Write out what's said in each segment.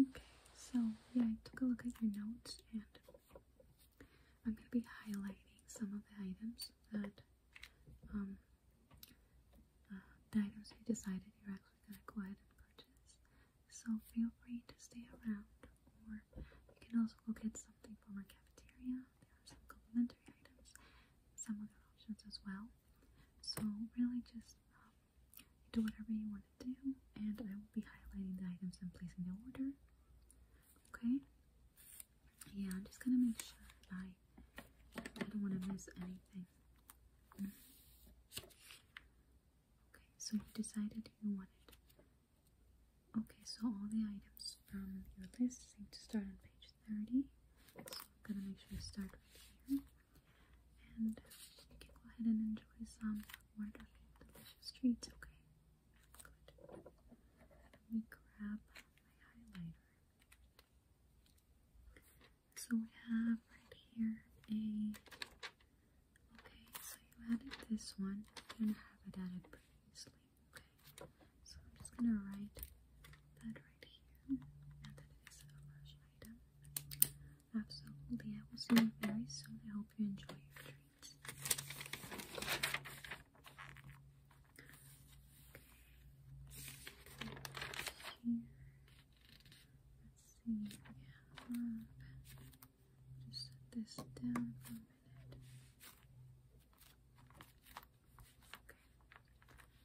Okay, so yeah, I took a look at your notes and I'm going to be highlighting some of the items that, um, uh, the items you decided you're actually going to go ahead and purchase. So feel free to stay around or you can also go get something from our cafeteria. There are some complimentary items, some other options as well. So really just um, do whatever you want to do, and I will be highlighting the items and placing the order. Okay? Yeah, I'm just gonna make sure I, I don't want to miss anything. Okay, so you decided you wanted. Okay, so all the items from your list seem to start on page 30. So I'm gonna make sure you start here and you can go ahead and enjoy some wonderful, delicious treats, okay? Good. Let me grab my highlighter. So we have right here a okay, so you added this one. You didn't have it added pretty easily. Okay. So I'm just gonna write that right here and that a large item. Absolutely. I will see you very soon. I hope you enjoy your treats. Let's see. let just set this down for a minute. Okay.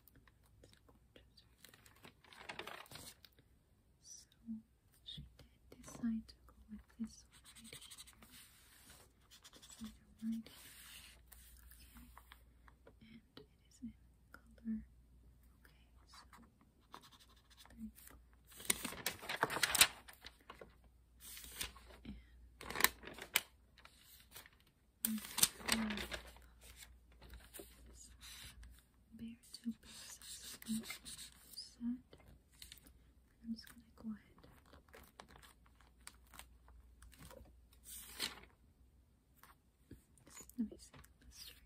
So she did decide to go with this one right Okay. And it is in color. Okay, so there Bear two pieces I'm just gonna go ahead. Let me see this right here.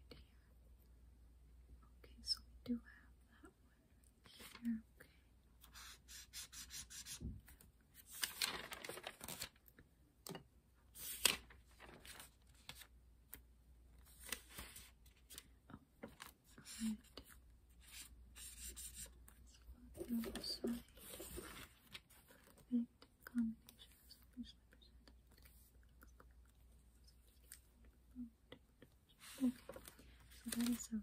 Okay, so we do have that one right here. Okay. Alright. let Perfect combination Okay, so that is a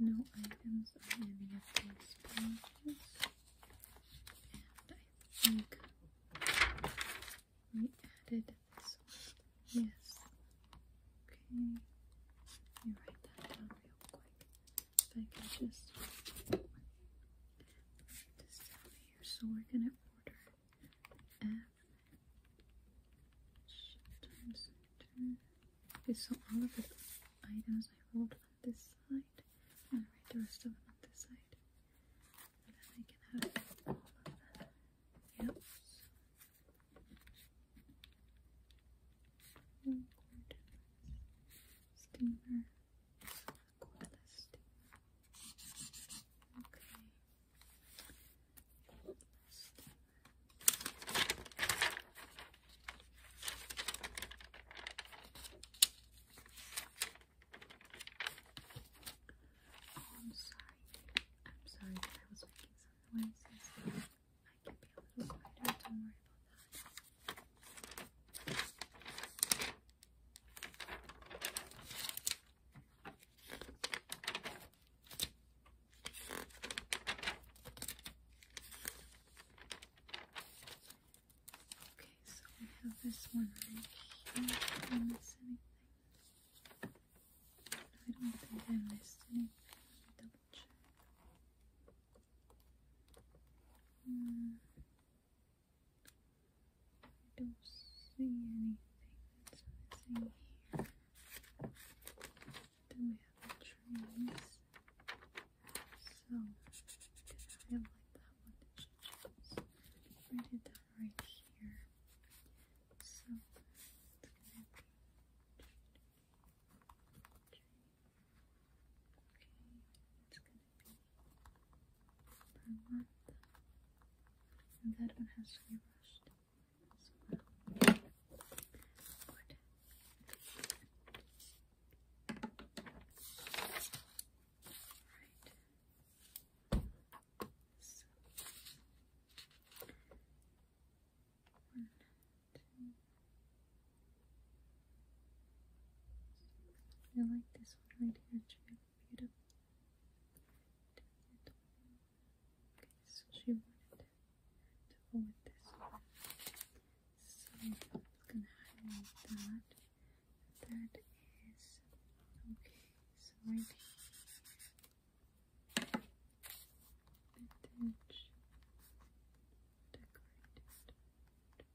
no items on any of these pages. And I think we added this one. Yes. Okay. Let write that down real quick. If I can just write this down here. So we're order times 2. so all of the items I hold on this side, and write the rest of them on this side. And then I can have all of that. Yep coolest. Okay. Coolest. Oh, I'm sorry. I'm sorry I was making some noises. I can be a little quieter, don't worry about that. Okay, so I have this one right here. miss anything? I don't think I missed anything. Double check. Hmm. I don't see anything that's missing here. we have the trees. So, I have like that one that she chose. right here. So, and that one has to be rushed as well. Good. Right. So. I like this one right here too. Okay, so she wanted to go with this one. So I'm gonna highlight that. That is okay, so right here. Vintage decorated.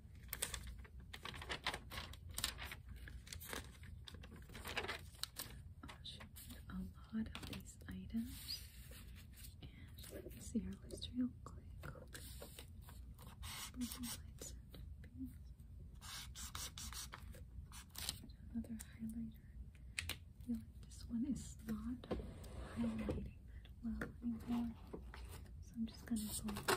A lot of these items, and you can see our list real quick. Another highlighter. I feel like this one is not highlighting that well anymore, so I'm just gonna go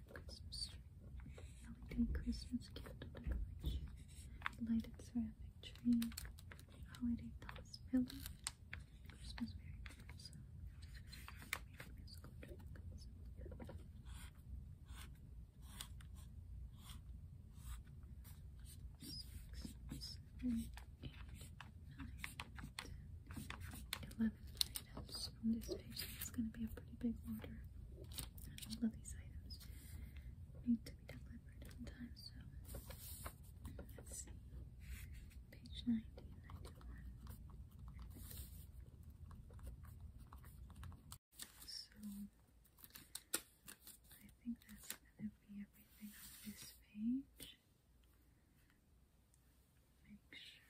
Christmas tree, holiday Christmas candle decoration, lighted ceramic tree, holiday toss pillow, Christmas berry musical dragons. Six, seven, eight, nine, ten, eleven, it this page. It's going to be a pretty big order. And all these items need to be delivered in time, so let's see. Page 19, So, I think that's going to be everything on this page. Make sure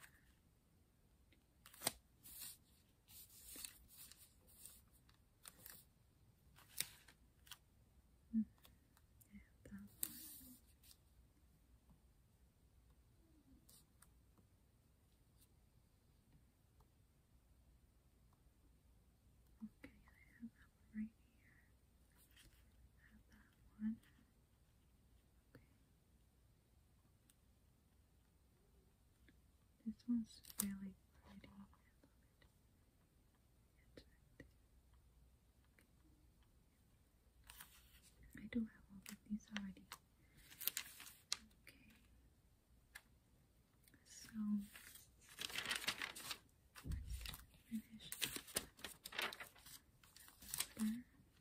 Mm -hmm. Okay, I have that one right here. have that one. Okay. This one's really pretty. I do have all of these already. Okay. So finish there.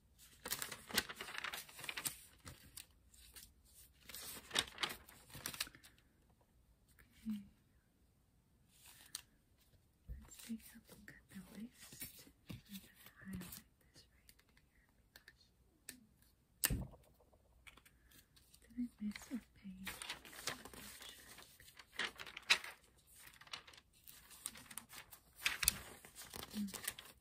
Okay. Let's take a look at the list. I'm going to highlight this right here because did I miss a page? Hmm.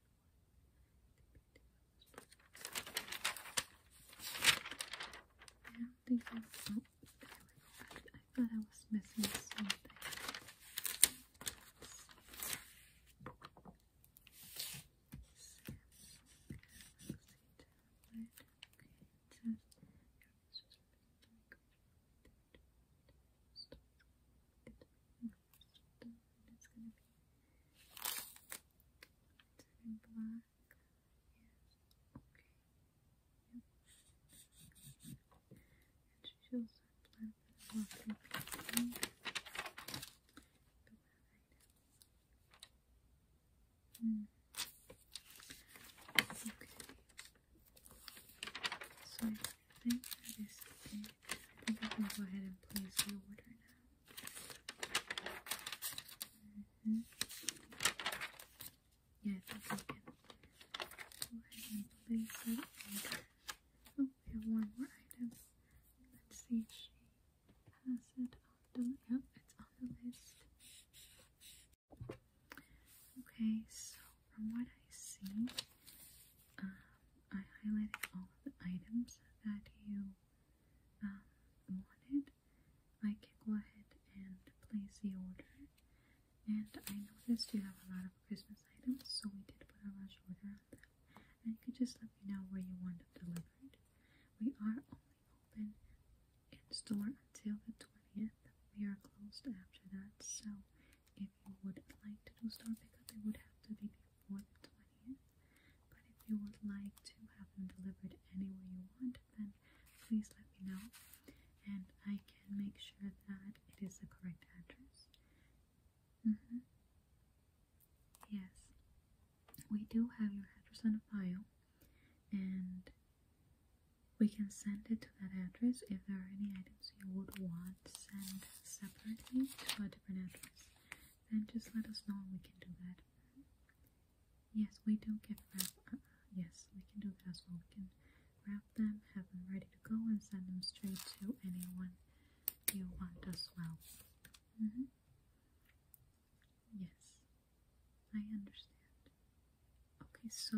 And these are, oh, there we I thought I was missing something stone. It's gonna be black. Okay. Yep. And she's also in black and walking Mm. Okay. So I think that is okay. I think I can go ahead and place the order now. Yeah, Oh, we have one more item. Let's see if she has it yep, it's on the list. Okay, so from what I see, I highlighted all of the items that you um, wanted. I can go ahead and place the order. And I noticed you have a lot of Christmas items, so we did put a rush order on them. And you could just let me know where you want them delivered. We are only open in store until the 20th. We are closed after that, so if you would like to do store pickup, it would have to be for 20th. But if you would like to have them delivered anywhere you want, then please let me know. And I can make sure that it is the correct address. Mm-hmm. Yes. We do have your address on file. And we can send it to that address. If there are any items you would want, sent separately to a different address then just let us know we can do that. Yes, we do get uh, yes, we can do that as well. We can wrap them, have them ready to go, and send them straight to anyone you want as well. Mm -hmm. Yes, I understand. Okay, so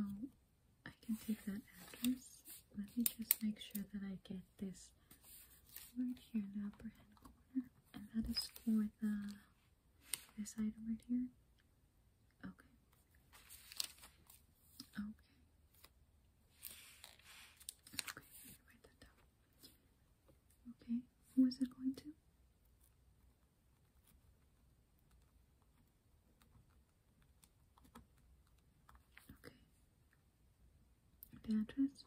I can take that address. Let me just make sure that I get this right here in the upper hand corner, and that is for the this item right here. Okay. Okay. Okay, I Okay, who is it going to? Okay the address.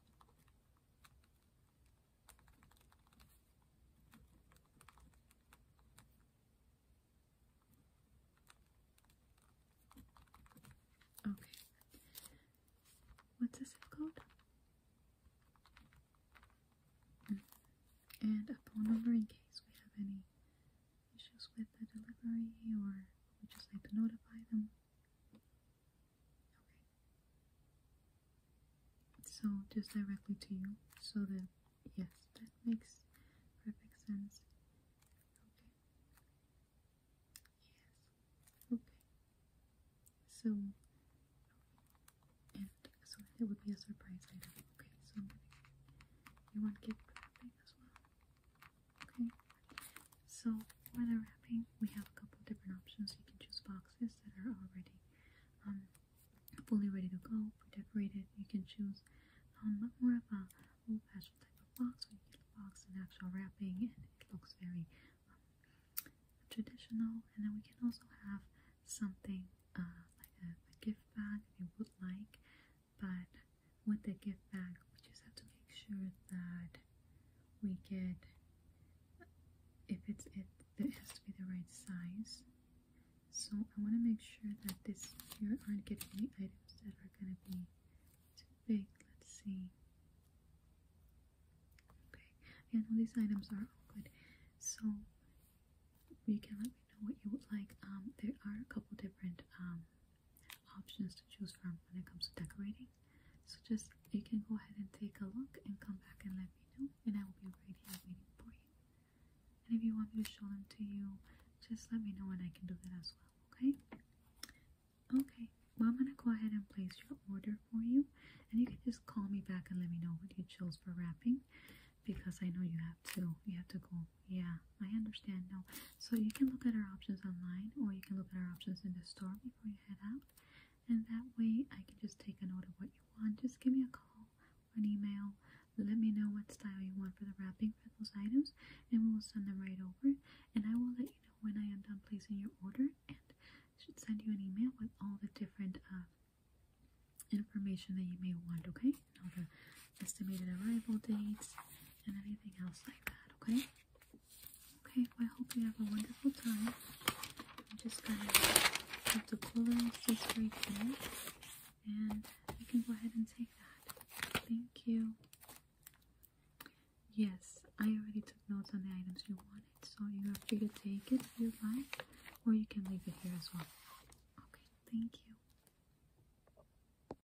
Okay. What's the zip code? And a phone number in case we have any issues with the delivery or we just like to notify them. So just directly to you. So that yes, that makes perfect sense. Okay. Yes. Okay. So and so it would be a surprise later. Okay, so I'm gonna you want gift wrapping as well. Okay, so for the wrapping, we have a couple different options. You can choose boxes that are already um, fully ready to go, decorated. You can choose um, more of a old fashioned type of box where you get the box and actual wrapping, and it looks very um, traditional. And then we can also have something uh, like a gift bag if you would like but with the gift bag, we just have to make sure that we get if it's it it has to be the right size so I want to make sure that this here aren't getting any items that are going to be too big let's see okay and all these items are all good so you can let me know what you would like um there are a couple different um options to choose from when it comes to decorating. So just you can go ahead and take a look and come back and let me know and I will be right here waiting for you. And if you want me to show them to you, just let me know and I can do that as well, okay? Okay, well I'm gonna go ahead and place your order for you and you can just call me back and let me know what you chose for wrapping because I know you have to you have to go yeah, I understand now. So you can look at our options online or you can look at our options in the store before you head out. And that way I can just take a note of what you want. Just give me a call or an email. Let me know what style you want for the wrapping for those items and we'll send them right over. And I will let you know when I am done placing your order and should send you an email with all the different uh, information that you may want, okay? all the estimated arrival dates and anything else like that, okay? Okay, I hope you have a wonderful time. I'm just gonna put the cooler this right there, and you can go ahead and take that. Thank you. Yes, I already took notes on the items you wanted, so you are free to take it if you like, or you can leave it here as well. Okay, thank you.